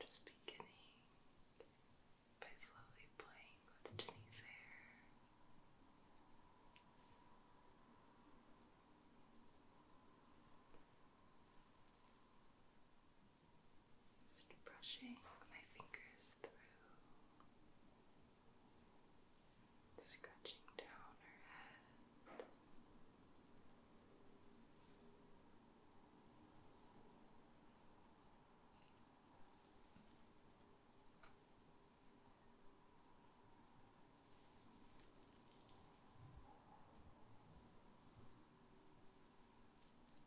Just beginning by slowly playing with Jenny's hair. Just brushing my fingers through, scratching down her head.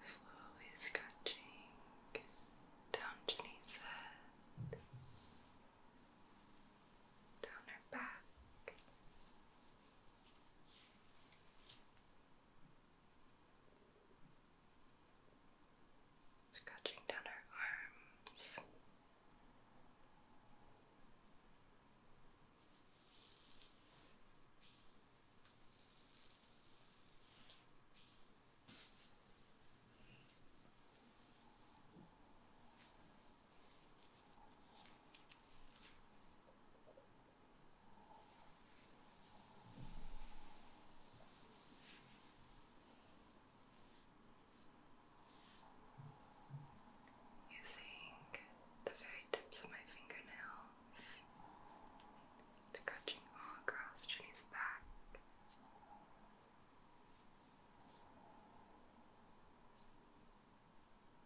Slowly scratching down Janine's head, down her back, Scratching down her arms. Using the very tips of my fingernails to touching all across Jenny's back.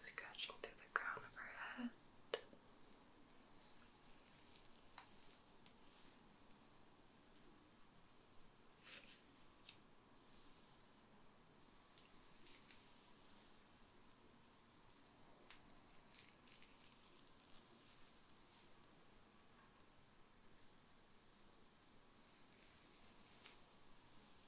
scratching through the crown of her head. Just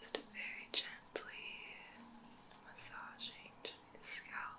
Just very gently massaging his scalp.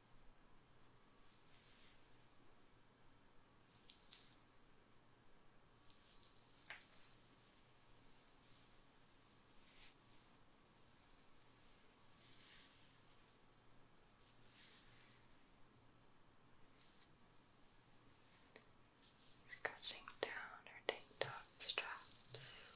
Scratching down her tank top straps.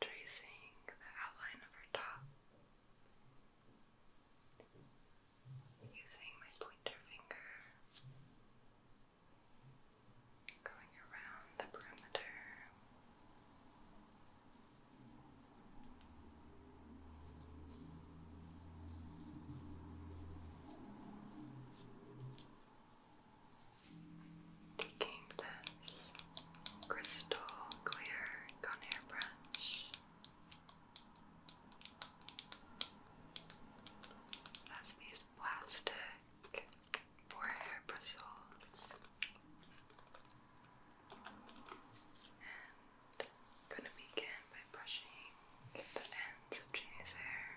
Tracing the outline of her top using my pointer finger, going around the perimeter. Making this crystal clear Conair brush. Has these plastic forehair bristles I'm gonna begin by brushing the ends of Jenny's hair.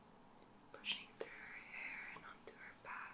pushing through her hair and onto her back.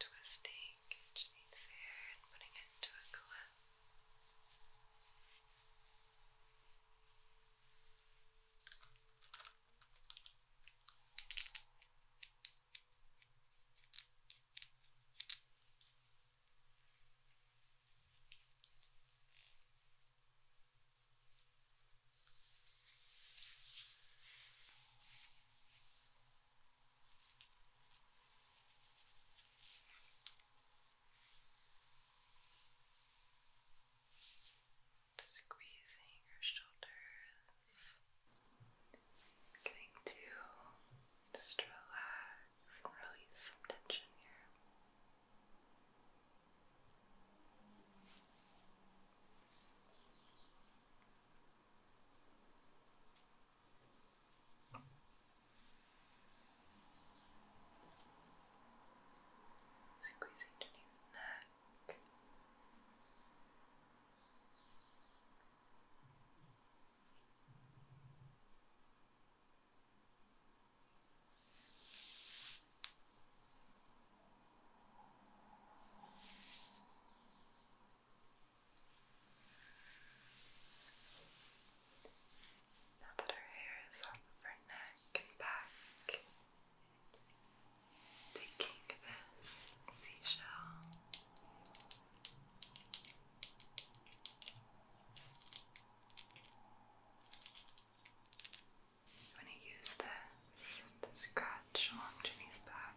Twisting Janine's hair and putting it into a clip. Now Squeezing your shoulders, getting to just relax and release some tension here. Squeeze underneath the neck. Now that her hair is off of her neck and back, taking this seashell. And I'm going to use this to scratch along Ginny's back.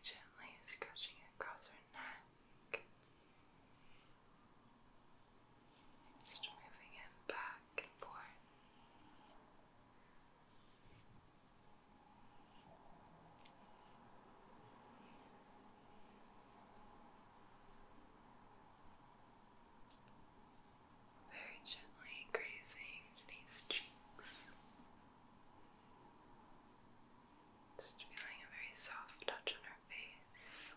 Gently scratching across her neck. Just moving him back and forth. Very gently grazing Janice's cheeks. Just feeling a very soft touch on her face.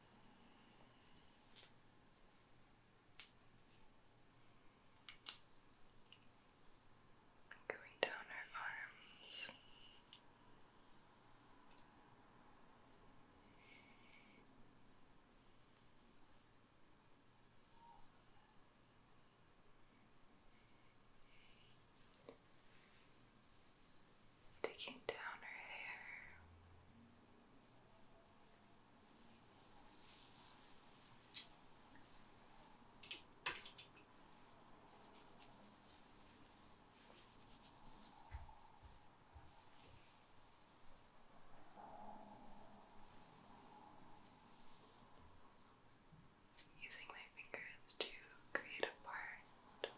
Going down her arms taking down her hair. Using my fingers to create a part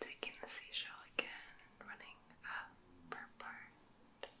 Taking the seashell again running up her part.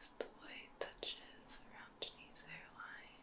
As the touches around Janine's hairline.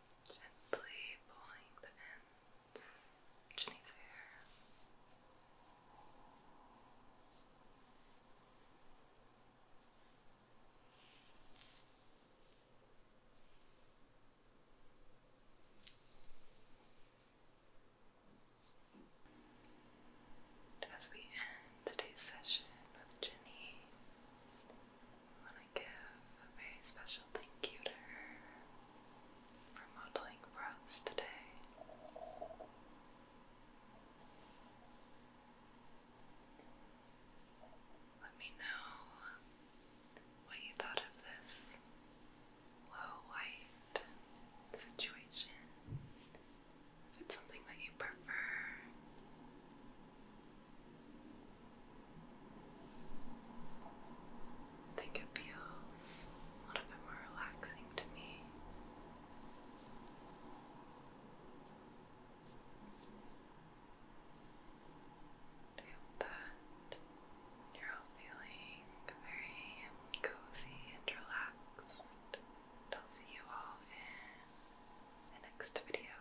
Gently pulling the ends of Jenny's hair. as we end today's session with Jenny, give a very special thank you to her for modeling for us today. Let me know what you thought of this low light situation. If it's something that you prefer, I think it feels a little bit more relaxing to me. I that you're all feeling very cozy and relaxed. I'll see you all in the next video.